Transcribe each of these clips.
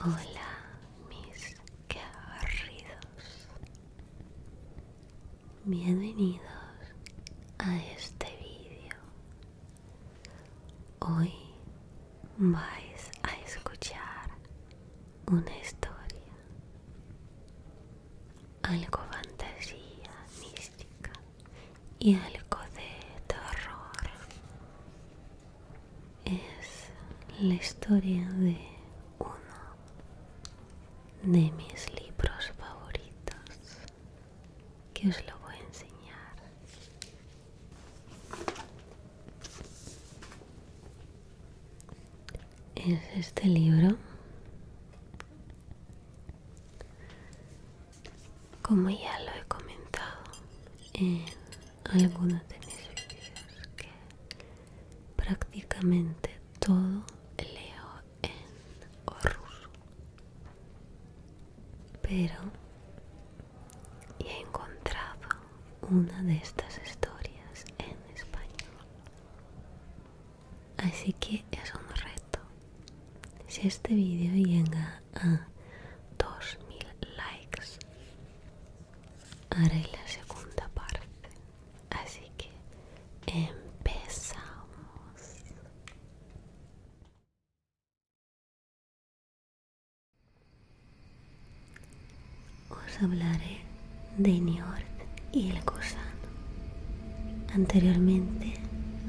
Hola, mis queridos. Bienvenidos a este vídeo. Hoy vais a escuchar una historia algo fantasía mística y algo de terror. Es la historia de uno de mis libros favoritos que os lo voy a enseñar es este libro. Como ya lo he comentado en algunos de mis vídeos, que prácticamente todo leo en ruso, pero he encontrado una de estas historias en español Así que es un reto. Si este vídeo llega a 2000 likes, haré la segunda parte. Así que empezamos os hablaré de Niort y el gusano. Anteriormente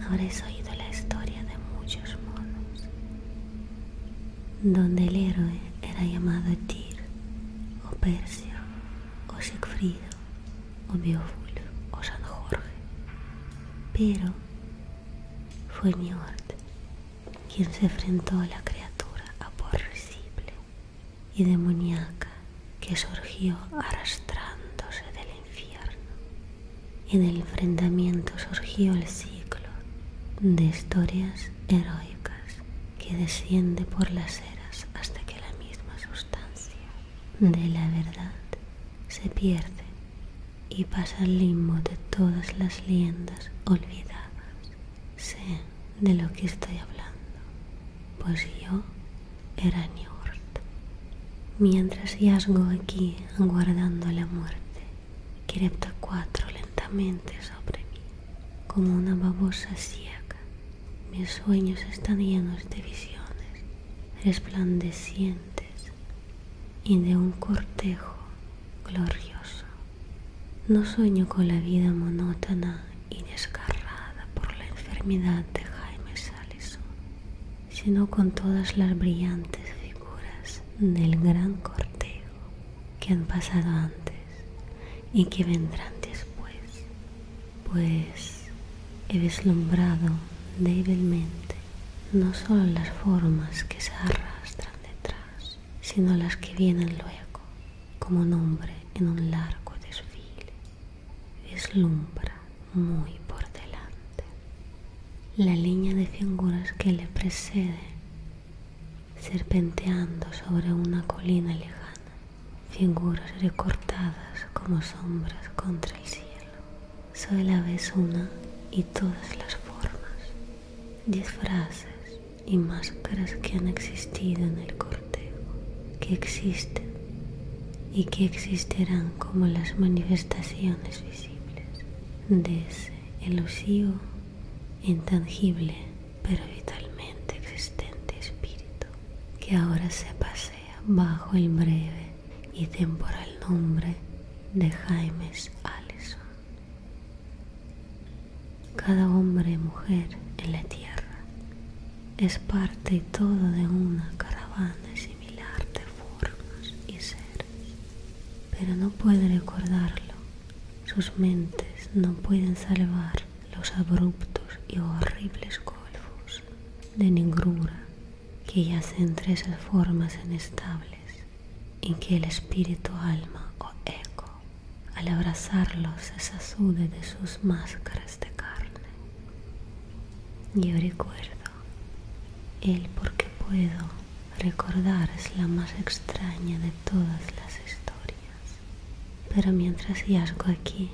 habréis oído la historia de muchos monos, donde el héroe era llamado Tyr, o Persio, o Sigfrido, o Beowulf, o San Jorge. Pero fue Niort quien se enfrentó a la criatura aporrecible y demoníaca que surgió arrastrándose del infierno. Y el enfrentamiento surgió el ciclo de historias heroicas que desciende por las eras hasta que la misma sustancia de la verdad se pierde y pasa al limbo de todas las leyendas olvidadas de lo que estoy hablando, pues yo era Niort. Mientras yazgo aquí aguardando la muerte, Kerepta cuatro lentamente sobre mí, como una babosa ciega. Mis sueños están llenos de visiones resplandecientes y de un cortejo glorioso. No sueño con la vida monótona y desgarrada por la enfermedad de Jaime Salison, sino con todas las brillantes figuras del gran cortejo que han pasado antes y que vendrán después, pues he deslumbrado débilmente no solo las formas que se arrastran detrás, sino las que vienen luego como nombre en un largo desfile, deslumbra muy por delante. La línea de figuras que le precede, serpenteando sobre una colina lejana, figuras recortadas como sombras contra el cielo. Solo vez una y todas las formas, disfraces, y máscaras que han existido en el cortejo, que existen y que existirán como las manifestaciones visibles de ese elusivo, intangible, pero vitalmente existente espíritu, que ahora se pasea bajo el breve y temporal nombre de Jaimes Allison. Cada hombre y mujer en la tierra es parte y todo de una caravana similar de formas y seres, pero no puede recordarlo. Sus mentes no pueden salvar los abruptos y horribles golfos de negrura que yacen entre esas formas inestables en que el espíritu alma o eco al abrazarlos se sacude de sus máscaras de carne. Yo recuerdo, el porque puedo recordar es la más extraña de todas las historias. Pero mientras yazgo aquí,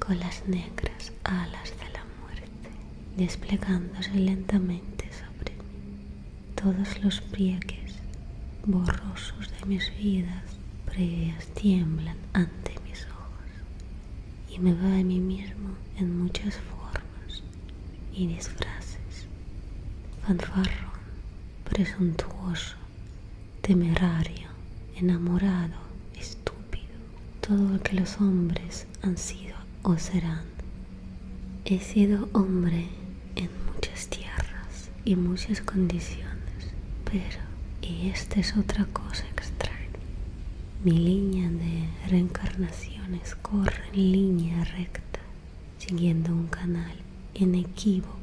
con las negras alas de la muerte, desplegándose lentamente sobre todos los pliegues borrosos de mis vidas previas tiemblan ante mis ojos y me va a mí mismo en muchas formas y disfraces, fanfarrón, presuntuoso, temerario, enamorado, estúpido, todo lo que los hombres han sido o serán. He sido hombre en muchas tierras y muchas condiciones, pero, y esta es otra cosa extraña, mi línea de reencarnaciones corre en línea recta, siguiendo un canal inequívoco.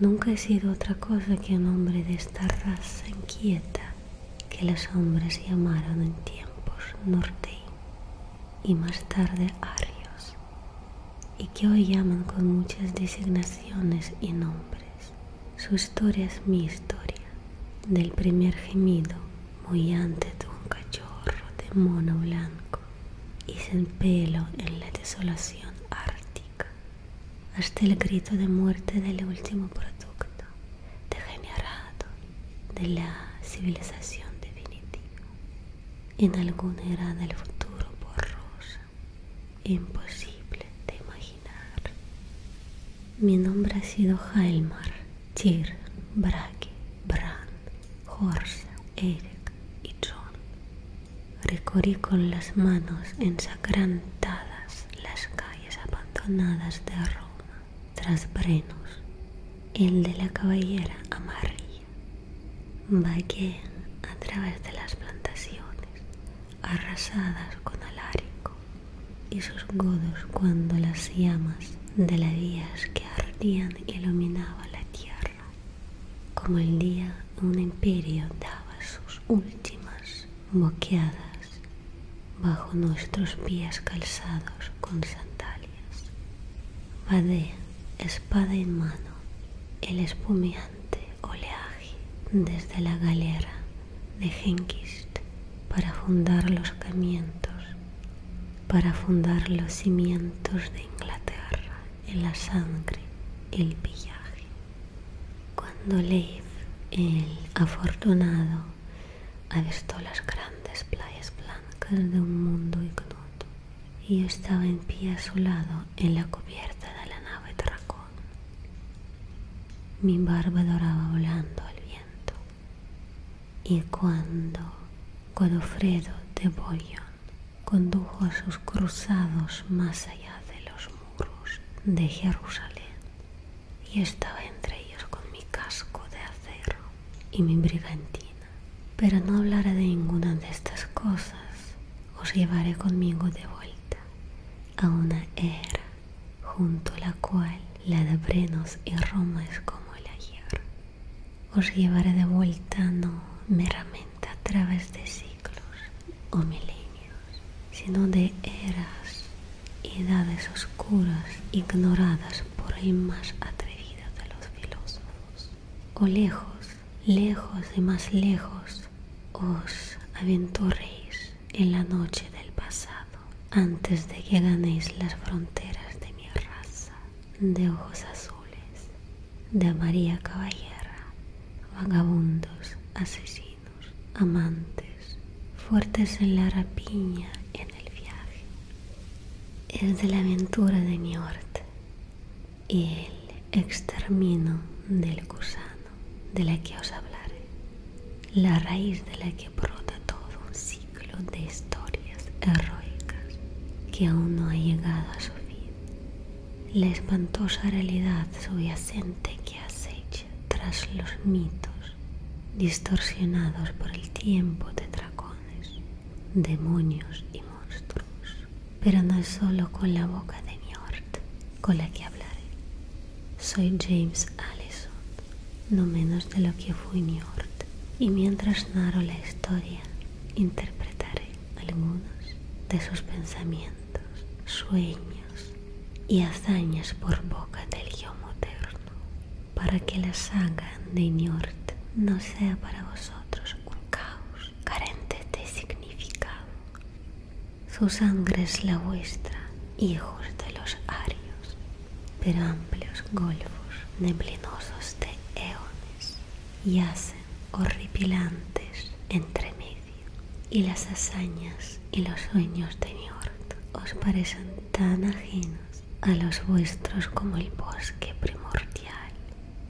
Nunca he sido otra cosa que un hombre de esta raza inquieta que los hombres llamaron en tiempos norte y más tarde arios y que hoy llaman con muchas designaciones y nombres. Su historia es mi historia, del primer gemido antes de un cachorro de mono blanco y sin pelo en la desolación ártica, hasta el grito de muerte del último producto degenerado de la civilización definitiva en alguna era del futuro rosa, imposible de imaginar. Mi nombre ha sido Halmar, Tyr, Bragi, Brand, Horsa, Eric y John. Recorrí con las manos ensacrantadas las calles abandonadas de Roma, tras Brenos, el de la caballera amarilla vaquen a través de las plantaciones, arrasadas con alarico y sus godos cuando las llamas de las vías que ardían iluminaba la tierra, como el día un imperio daba sus últimas boqueadas bajo nuestros pies calzados con sandalias. Vadea, espada en mano, el espumeante oleaje desde la galera de Hengist para fundar los camientos, para fundar los cimientos de Inglaterra en la sangre y el pillaje. Cuando Leif, el afortunado, avistó las grandes playas blancas de un mundo ignoto, y yo estaba en pie a su lado en la cubierta de la nave dragón. Mi barba doraba volando al viento. Y cuando Godofredo de Bollion condujo a sus cruzados más allá de los muros de Jerusalén, yo estaba entre ellos con mi casco de acero y mi brigantina pero no hablaré de ninguna de estas cosas. Os llevaré conmigo de vuelta a una era junto a la cual la de Brenos y Roma es como el ayer. Os llevaré de vuelta no meramente a través de siglos o milenios, sino de eras y edades oscuras ignoradas por el más atrevido de los filósofos o lejos, lejos y más lejos, os aventuréis en la noche del pasado, antes de que ganéis las fronteras de mi raza, de ojos azules, de María Caballera, vagabundos, asesinos, amantes, fuertes en la rapiña, en el viaje, es de la aventura de orte y el extermino del gusano de la que os hablaré, la raíz de la que brota todo un ciclo de historias heroicas que aún no ha llegado a su fin, la espantosa realidad subyacente que acecha tras los mitos distorsionados por el tiempo de dragones demonios y monstruos, pero no es solo con la boca de Niort, con la que hablaré. Soy James Allison, no menos de lo que fui Niort. y mientras narro la historia, interpretaré algunos de sus pensamientos, sueños y hazañas por boca del yo moderno para que la saga de Niort no sea para vosotros un caos carente de significado. Su sangre es la vuestra, hijos de los arios, pero amplios golfos neblinosos de eones yacen horripilantes entre medio, y las hazañas y los sueños de Niort os parecen tan ajenos a los vuestros como el bosque primordial,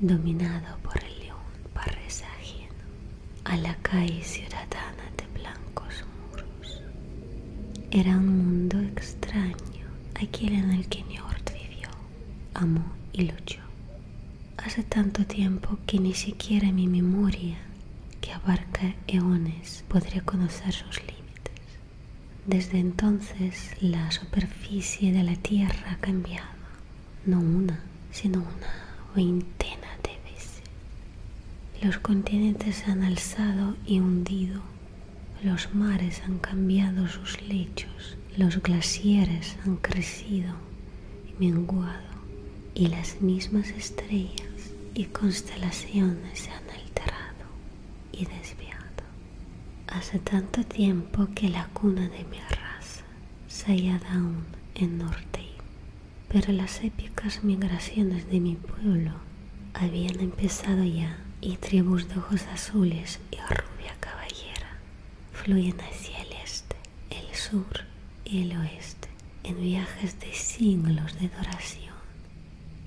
dominado por el león parres a la calle ciudadana de blancos muros. Era un mundo extraño, aquel en el que Njord vivió, amó y luchó. Hace tanto tiempo que ni siquiera mi memoria, que abarca eones, podría conocer sus límites. Desde entonces la superficie de la Tierra ha cambiado, no una, sino una veintena de veces. Los continentes han alzado y hundido, los mares han cambiado sus lechos, los glaciares han crecido y menguado, y las mismas estrellas y constelaciones se han alterado y desviado. Hace tanto tiempo que la cuna de mi raza se halla aún en Norte, pero las épicas migraciones de mi pueblo habían empezado ya y tribus de ojos azules y rubia caballera fluyen hacia el este, el sur y el oeste en viajes de siglos de adoración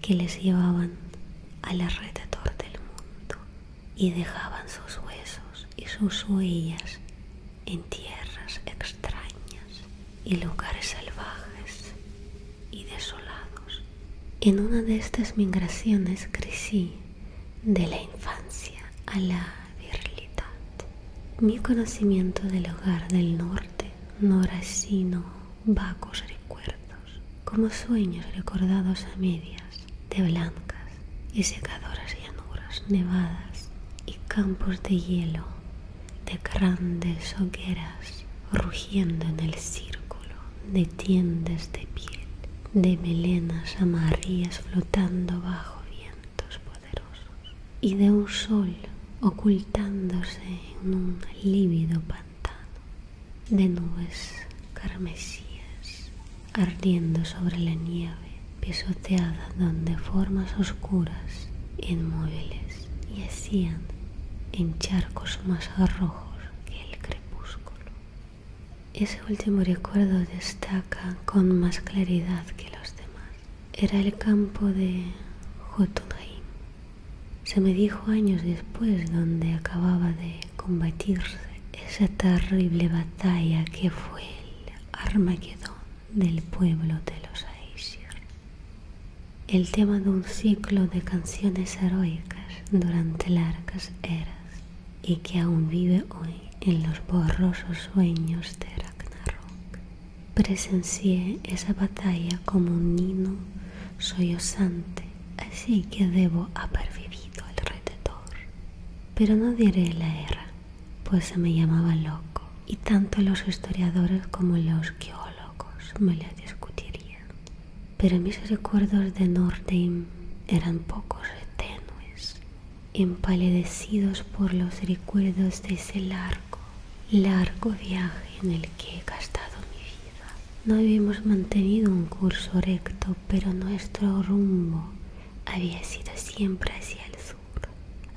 que les llevaban a la del mundo y dejaban sus huesos y sus huellas en tierras extrañas y lugares salvajes y desolados. En una de estas migraciones crecí de la infancia a la virilidad. Mi conocimiento del hogar del norte no sino vagos recuerdos, como sueños recordados a medias, de blancas y secadoras llanuras nevadas y campos de hielo, de grandes hogueras rugiendo en el círculo de tiendas de piel, de melenas amarillas flotando bajo vientos poderosos y de un sol ocultándose en un lívido de nubes carmesíes ardiendo sobre la nieve pisoteada donde formas oscuras inmóviles yacían en charcos más rojos que el crepúsculo. Ese último recuerdo destaca con más claridad que los demás. Era el campo de Jotunheim, se me dijo años después donde acababa de combatirse esa terrible batalla que fue el Armagedón del pueblo de los Aesir. El tema de un ciclo de canciones heroicas durante largas eras y que aún vive hoy en los borrosos sueños de Ragnarok. Presencié esa batalla como un nino sollozante así que debo haber vivido alrededor. Pero no diré la era, pues se me llamaba loco y tanto los historiadores como los geólogos me la discutirían. Pero mis recuerdos de Nordheim eran pocos tenues, empalidecidos por los recuerdos de ese largo, largo viaje en el que he gastado mi vida. No habíamos mantenido un curso recto, pero nuestro rumbo había sido siempre hacia el sur.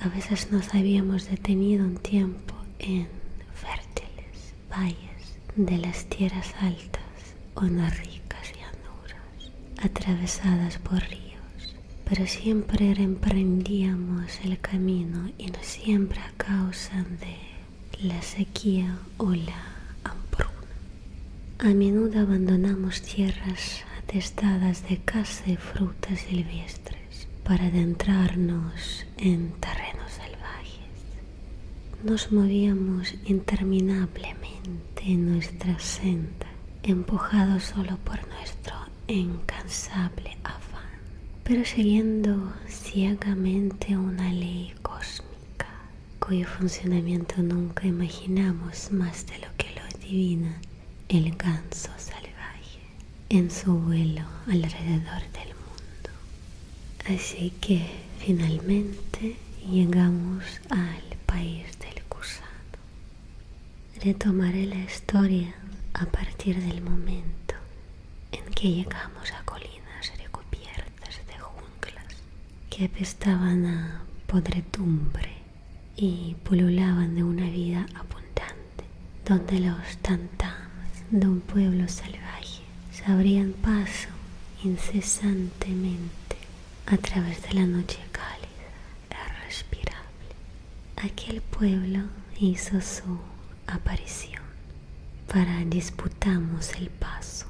A veces nos habíamos detenido un tiempo en fértiles valles de las tierras altas o en las ricas llanuras, atravesadas por ríos, pero siempre reemprendíamos el camino y no siempre a causa de la sequía o la hambruna. A menudo abandonamos tierras atestadas de caza y frutas silvestres para adentrarnos en terrenos salvajes. Nos movíamos interminablemente en nuestra senda, empujados solo por nuestro incansable afán, pero siguiendo ciegamente una ley cósmica cuyo funcionamiento nunca imaginamos más de lo que lo adivina el ganso salvaje en su vuelo alrededor del mundo. Así que finalmente llegamos al país del gusano. Retomaré la historia a partir del momento en que llegamos a colinas recubiertas de junglas que apestaban a podredumbre y pululaban de una vida abundante, donde los tantamas de un pueblo salvaje se abrían paso incesantemente a través de la noche cálida, irrespirable. Aquel pueblo hizo su aparición para disputamos el paso,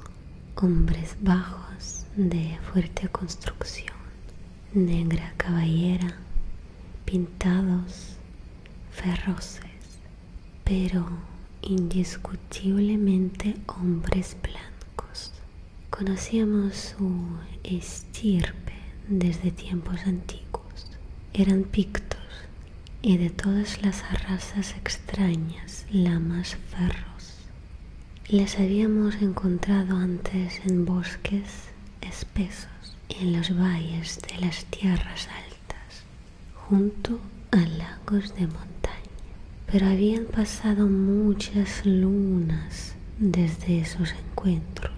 hombres bajos de fuerte construcción, negra caballera, pintados, feroces, pero indiscutiblemente hombres blancos. Conocíamos su estirpe desde tiempos antiguos. Eran pictos, y de todas las razas extrañas, lamas, ferros. las habíamos encontrado antes en bosques espesos, en los valles de las tierras altas, junto a lagos de montaña. Pero habían pasado muchas lunas desde esos encuentros.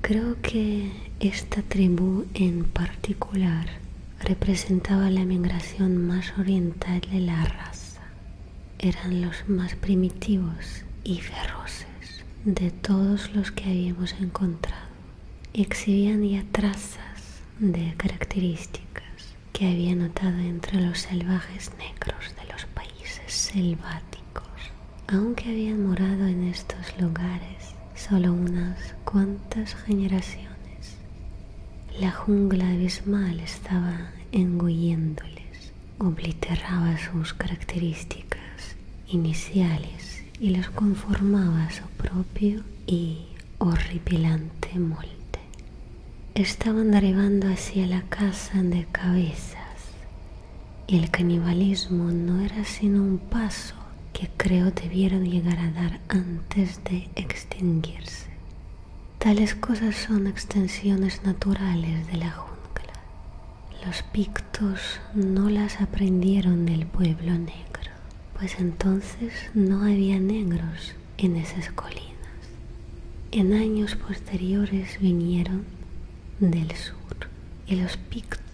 Creo que esta tribu en particular representaba la migración más oriental de la raza. Eran los más primitivos y feroces de todos los que habíamos encontrado y exhibían ya trazas de características que había notado entre los salvajes negros de los países selváticos. Aunque habían morado en estos lugares, solo unas cuantas generaciones, la jungla abismal estaba engulléndoles, obliteraba sus características iniciales y las conformaba su propio y horripilante molde. Estaban derivando hacia la casa de cabezas y el canibalismo no era sino un paso que creo debieron llegar a dar antes de extinguirse. Tales cosas son extensiones naturales de la jungla. Los pictos no las aprendieron del pueblo negro, pues entonces no había negros en esas colinas. En años posteriores vinieron del sur y los pictos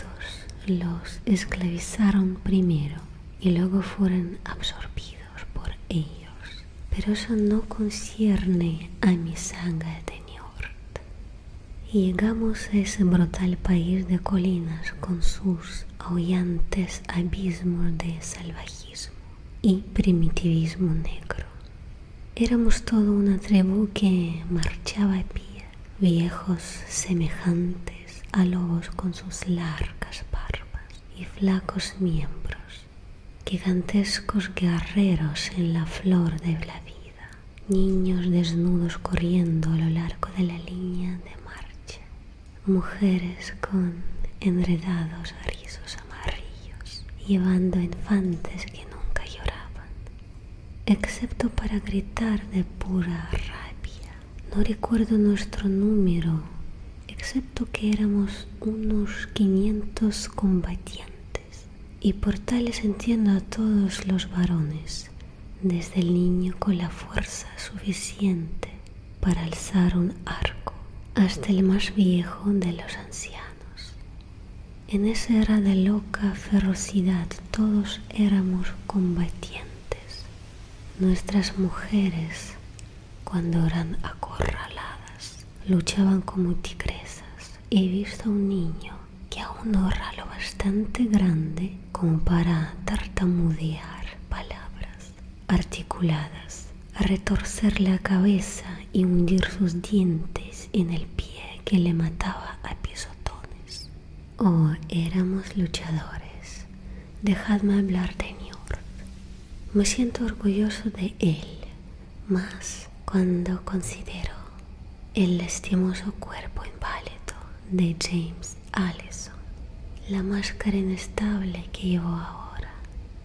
los esclavizaron primero y luego fueron absorbidos por ellos. Pero eso no concierne a mi sangre de niort Y llegamos a ese brutal país de colinas con sus aullantes abismos de salvajismo y primitivismo negro. Éramos toda una tribu que marchaba a pie viejos semejantes a lobos con sus largas barbas y flacos miembros, gigantescos guerreros en la flor de la vida, niños desnudos corriendo a lo largo de la línea de marcha, mujeres con enredados rizos amarillos, llevando infantes que nunca lloraban, excepto para gritar de pura rabia no recuerdo nuestro número, excepto que éramos unos quinientos combatientes. Y por tales entiendo a todos los varones, desde el niño con la fuerza suficiente para alzar un arco, hasta el más viejo de los ancianos. En esa era de loca ferocidad todos éramos combatientes, Nuestras mujeres, cuando eran acorraladas, luchaban como tigresas. He visto a un niño que aún no era lo bastante grande como para tartamudear palabras articuladas, retorcer la cabeza y hundir sus dientes en el pie que le mataba a pisotones. Oh, éramos luchadores. Dejadme hablar de Niort. Me siento orgulloso de él, más cuando considero el lastimoso cuerpo inválido de James Allison, la máscara inestable que llevo ahora.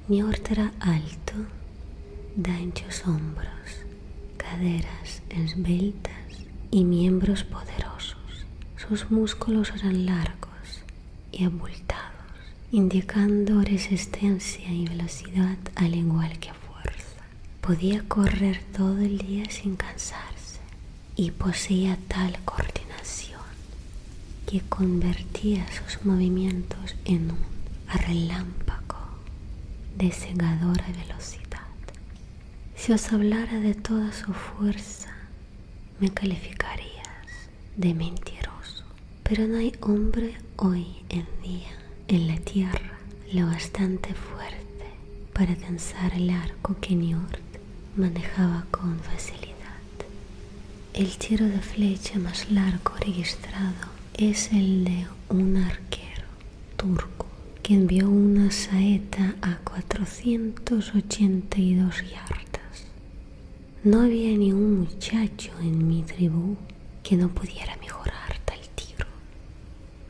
Niort era alto, de anchos hombros, caderas esbeltas y miembros poderosos. Sus músculos eran largos y abultados, indicando resistencia y velocidad al igual que fuerza. Podía correr todo el día sin cansarse y poseía tal coordinación que convertía sus movimientos en un relámpago de cegadora velocidad. Si os hablara de toda su fuerza, me calificarías de mentiroso. Pero no hay hombre hoy en día en la tierra lo bastante fuerte para tensar el arco que Niort manejaba con facilidad. El tiro de flecha más largo registrado es el de un arquero turco que envió una saeta a 482 yardas. No había ni un muchacho en mi tribu que no pudiera mejorar tal tiro.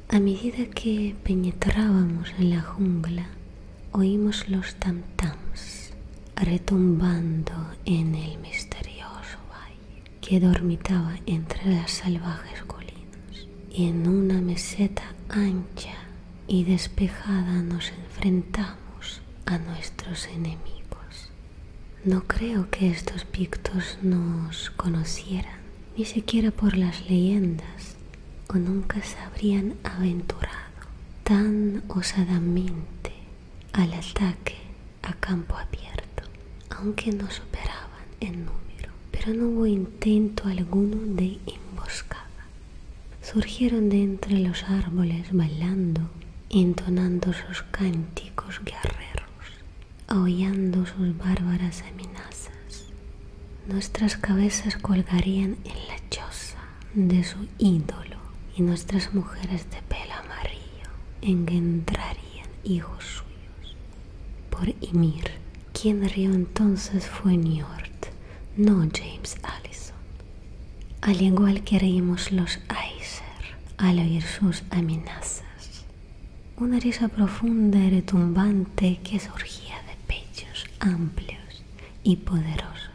A medida que penetrábamos en la jungla, oímos los tam-tams retumbando en el misterioso valle que dormitaba entre las salvajes colinas y en una meseta ancha y despejada nos enfrentamos a nuestros enemigos. No creo que estos pictos nos conocieran, ni siquiera por las leyendas, o nunca se habrían aventurado tan osadamente al ataque a campo abierto, aunque nos superaban en número pero no hubo intento alguno de emboscada. Surgieron de entre los árboles bailando, entonando sus cánticos guerreros, aullando sus bárbaras amenazas. Nuestras cabezas colgarían en la choza de su ídolo y nuestras mujeres de pelo amarillo engendrarían hijos suyos por Ymir, quien rió entonces fue Niort, no James Allison. Al igual que reímos los Aesir al oír sus amenazas, una risa profunda y retumbante que surgía de pechos amplios y poderosos.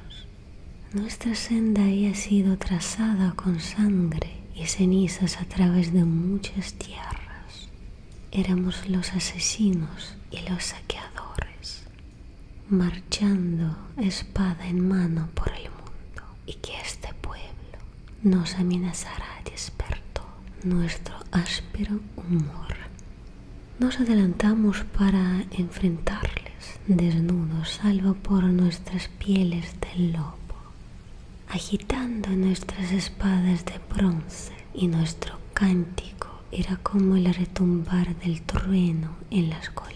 Nuestra senda había sido trazada con sangre y cenizas a través de muchas tierras éramos los asesinos y los saqueadores, marchando espada en mano por el mundo, y que este pueblo nos amenazara despertó nuestro áspero humor. Nos adelantamos para enfrentarles desnudos, salvo por nuestras pieles del lobo, agitando nuestras espadas de bronce y nuestro cántico era como el retumbar del trueno en las colinas.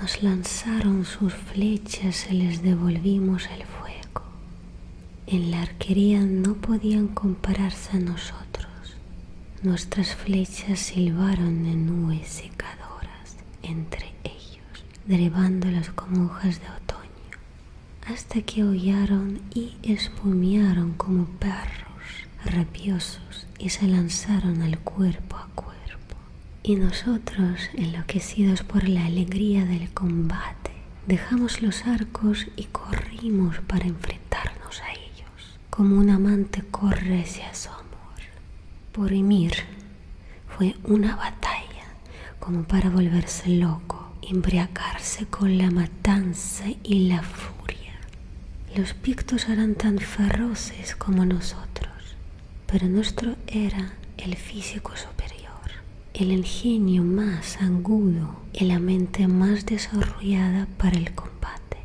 Nos lanzaron sus flechas y les devolvimos el fuego. En la arquería no podían compararse a nosotros. Nuestras flechas silbaron de nubes secadoras entre ellos, derivando como hojas de otoño hasta que aullaron y espumearon como perros rabiosos y se lanzaron al cuerpo a cuerpo. Y nosotros, enloquecidos por la alegría del combate, dejamos los arcos y corrimos para enfrentarnos a ellos, como un amante corre hacia su amor. Por Ymir fue una batalla como para volverse loco, embriagarse con la matanza y la furia. Los pictos eran tan feroces como nosotros, pero nuestro era el físico superior, el ingenio más agudo y la mente más desarrollada para el combate.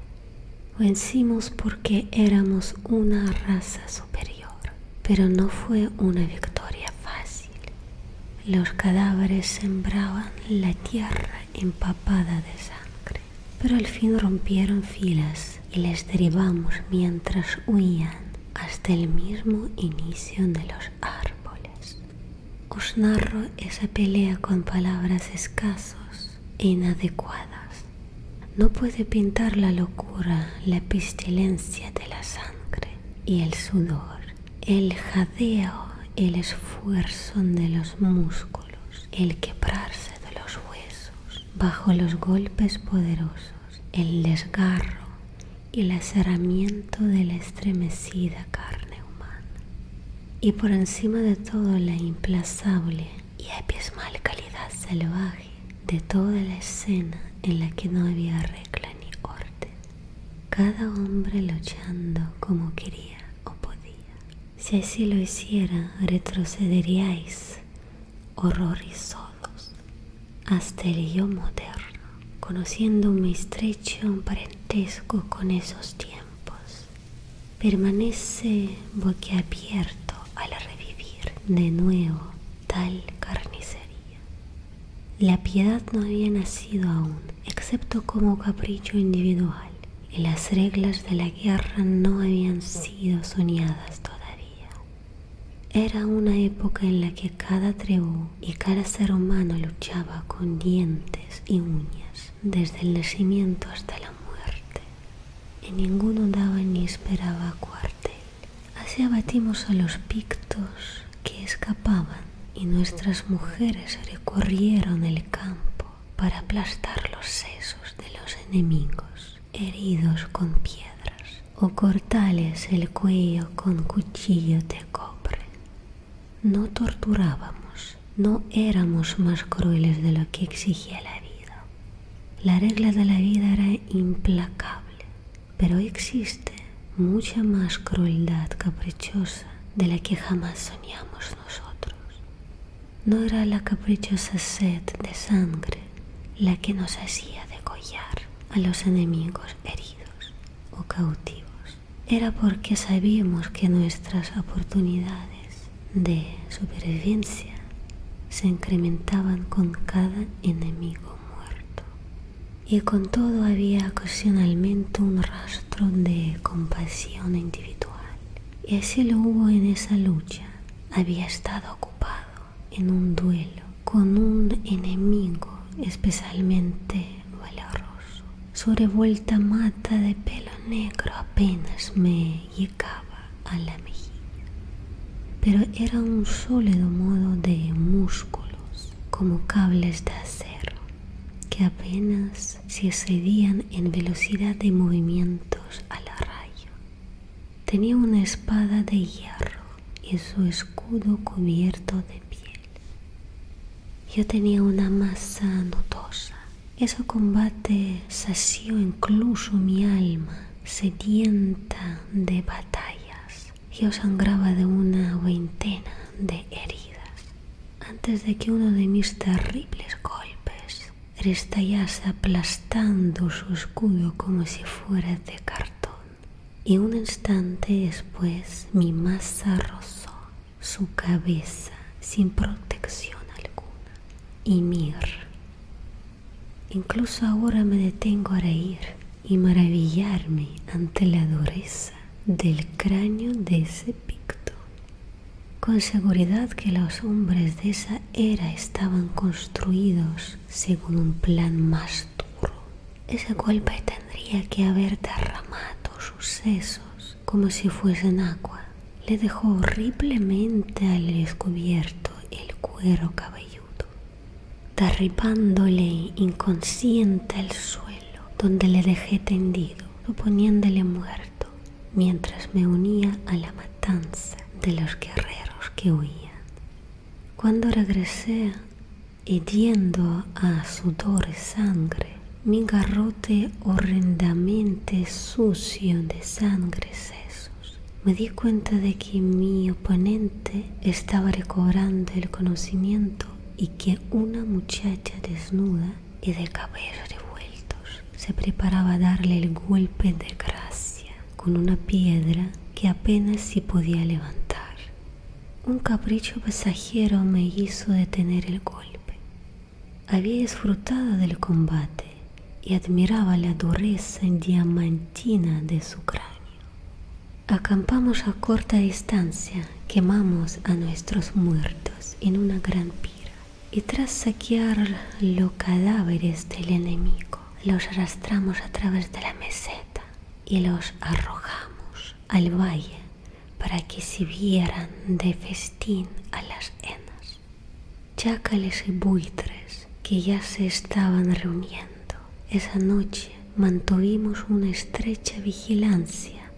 Vencimos porque éramos una raza superior, pero no fue una victoria fácil. Los cadáveres sembraban la tierra empapada de sangre, pero al fin rompieron filas y les derribamos mientras huían hasta el mismo inicio de los árboles. Os narro esa pelea con palabras escasos e inadecuadas. No puede pintar la locura, la pestilencia de la sangre y el sudor el jadeo, el esfuerzo de los músculos, el quebrarse de los huesos bajo los golpes poderosos, el desgarro y el aserramiento de la estremecida carne humana. Y por encima de todo la implazable y abismal calidad salvaje de toda la escena en la que no había regla ni corte cada hombre luchando como quería o podía. Si así lo hiciera, retrocederíais horrorizados hasta el yo moderno, conociendo mi estrecho parentesco con esos tiempos. Permanece boquiabierto al revivir de nuevo tal carnicería. La piedad no había nacido aún, excepto como capricho individual, y las reglas de la guerra no habían sido soñadas todavía. Era una época en la que cada tribu y cada ser humano luchaba con dientes y uñas, desde el nacimiento hasta la muerte, y ninguno daba ni esperaba cuartel. Así abatimos a los pictos que escapaban y nuestras mujeres recorrieron el campo para aplastar los sesos de los enemigos, heridos con piedras, o cortales el cuello con cuchillo de cobre. No torturábamos, no éramos más crueles de lo que exigía la vida. La regla de la vida era implacable. Pero existe mucha más crueldad caprichosa de la que jamás soñamos nosotros. No era la caprichosa sed de sangre la que nos hacía degollar a los enemigos heridos o cautivos. Era porque sabíamos que nuestras oportunidades de supervivencia se incrementaban con cada enemigo muerto y con todo había ocasionalmente un rastro de compasión individual. Y así lo hubo en esa lucha. Había estado ocupado en un duelo con un enemigo especialmente valeroso. Su revuelta mata de pelo negro apenas me llegaba a la mejilla, pero era un sólido modo de músculos como cables de acero que apenas se excedían en velocidad de movimientos a la Tenía una espada de hierro y su escudo cubierto de piel. Yo tenía una masa notosa. Ese combate sació incluso mi alma sedienta de batallas. Yo sangraba de una veintena de heridas antes de que uno de mis terribles golpes restallase aplastando su escudo como si fuera de cartón. Y un instante después mi masa rozó su cabeza sin protección alguna. Y mir. Incluso ahora me detengo a reír y maravillarme ante la dureza del cráneo de ese picto. Con seguridad que los hombres de esa era estaban construidos según un plan más duro. Ese golpe tendría que haber derramado sus sesos como si fuesen agua. Le dejó horriblemente al descubierto el cuero cabelludo derribándole inconsciente al suelo donde le dejé tendido, suponiéndole muerto, mientras me unía a la matanza de los guerreros que huían. Cuando regresé, hediendo a sudor y sangre, mi garrote horrendamente sucio de sangre y sesos, me di cuenta de que mi mi oponente estaba recobrando el conocimiento y que una muchacha desnuda y de cabellos revueltos se preparaba a darle el golpe de gracia con una piedra que apenas si podía levantar. Un capricho pasajero me hizo detener el golpe. Había disfrutado del combate y admiraba la dureza diamantina de su cráneo. Acampamos a corta distancia, quemamos a nuestros muertos en una gran pira y tras saquear los cadáveres del enemigo, los arrastramos a través de la meseta y los arrojamos al valle para que vieran de festín a las henas Chácales y buitres que ya se estaban reuniendo esa noche mantuvimos una estrecha vigilancia,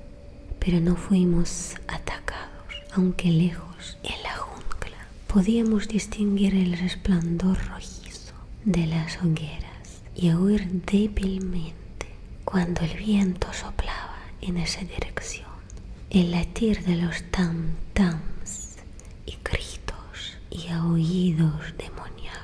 pero no fuimos atacados, aunque lejos en la jungla podíamos distinguir el resplandor rojizo de las hogueras y oír débilmente cuando el viento soplaba en esa dirección el latir de los tam-tams y gritos y oídos demoníacos